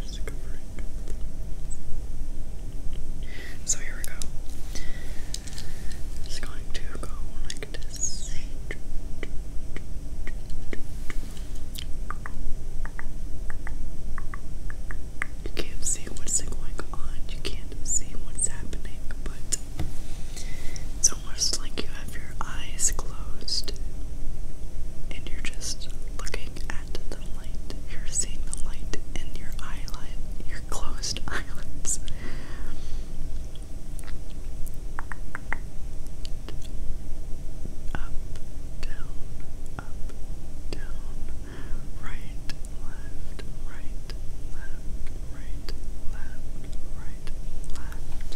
Just So here we go. i going to go like this. You can't see what's going on, you can't see what's happening, but it's almost like you have your eyes closed and you're just looking at the light. You're seeing the light in your eyelid, your closed eyelids. Up, down, up, down, right, left, right, left, right, left, right, left.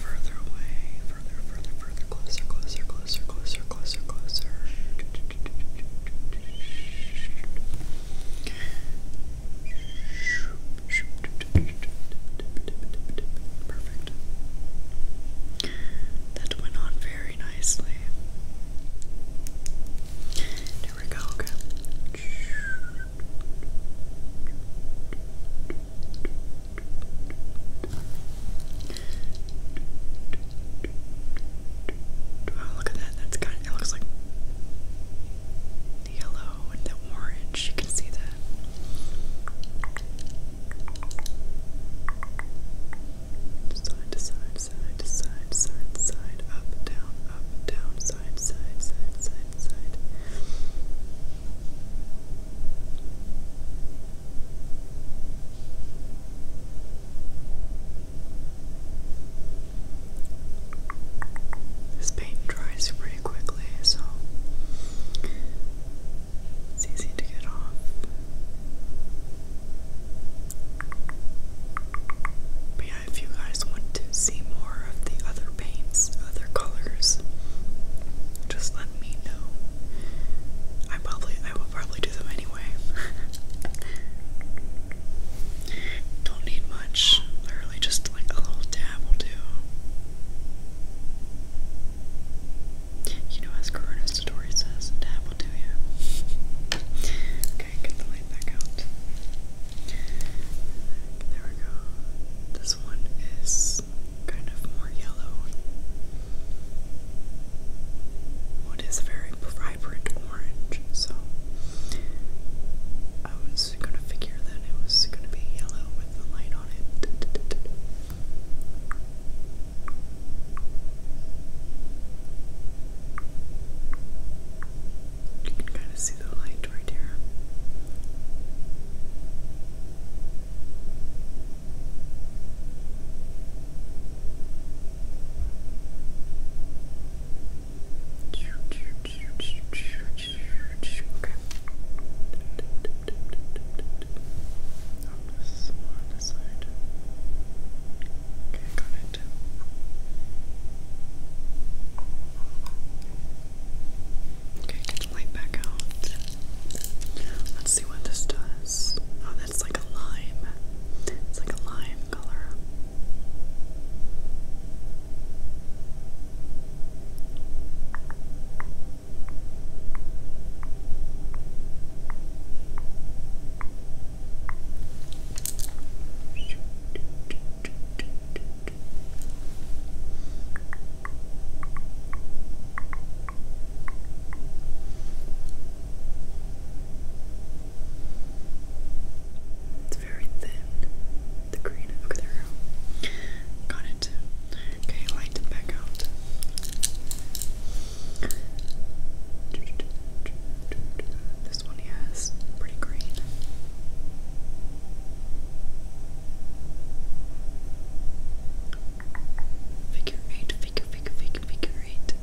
Further away, further, further, further, closer, closer, closer, closer, closer, closer. Perfect. That went on very nicely. Here we go, oh, look at that. That's kind of, it looks like yellow and the orange. You can see that. Side to side, side to side, side to side, up, down, up, down, side, side, side, side, side. This paint dries pretty quickly, so it's easy to get off yeah, if you guys want to see more of the other paints, other colors, just let me know. I probably I will probably do them anyway. Don't need much. Literally just like a little dab will do. You know, as Corona the story says to happen to you. okay, get the light back out. There we go. This one is kind of more yellow. What is very vibrant orange, so I was gonna figure that it was gonna be yellow with the light on it. You can kind of see the light right here. Okay. Oh, more on the side. Okay, got it. Okay, get the light back out. Let's see what this does. Oh, that's like a lime. It's like a lime color. It's very thin. The green. Okay, there Got it. Okay, light it back out. This one has pretty green. Figure eight, figure, figure, figure, figure eight.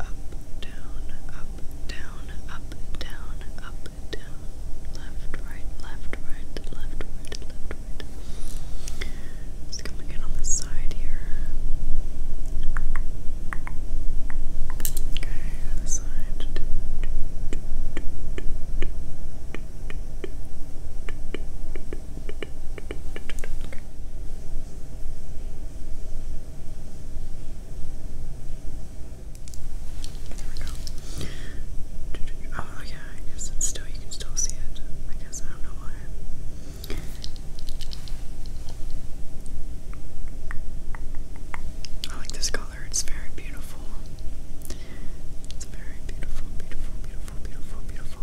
Up, down, up, down, up, down, up, down, left, right, left, right, left, right, left, right. Just coming in on the side here. Okay, on the side. There we go. Oh yeah, I guess it's still you can still see it. I guess I don't know why. I like this color, it's very beautiful. It's very beautiful, beautiful, beautiful, beautiful, beautiful.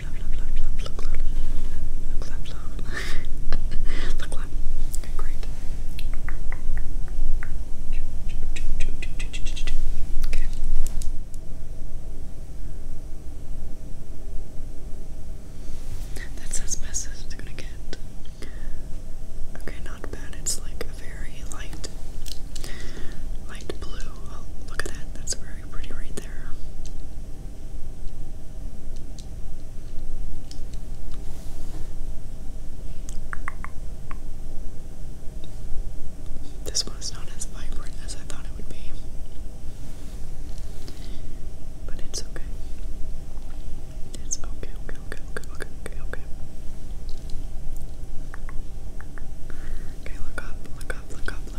Okay, great. Okay. That's as best as it's gonna get. Okay, not bad. It's like a very light, light blue. Oh, look at that. That's very pretty right there. This one's not as vibrant as I thought it would be, but it's okay. It's okay, okay, okay, okay, okay, okay, okay. Okay, look up, look up, look up,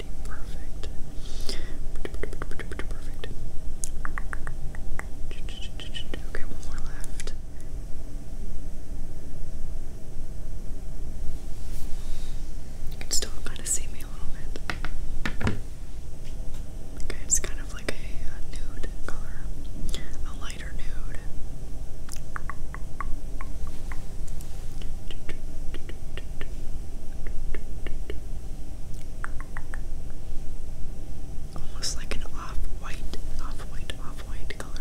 pretty perfect. Pretty, pretty perfect. Okay, one more left. You can still kind of see me a little bit. Okay, it's kind of like a, a nude color, a lighter nude. Almost like an off white, off white, off white color.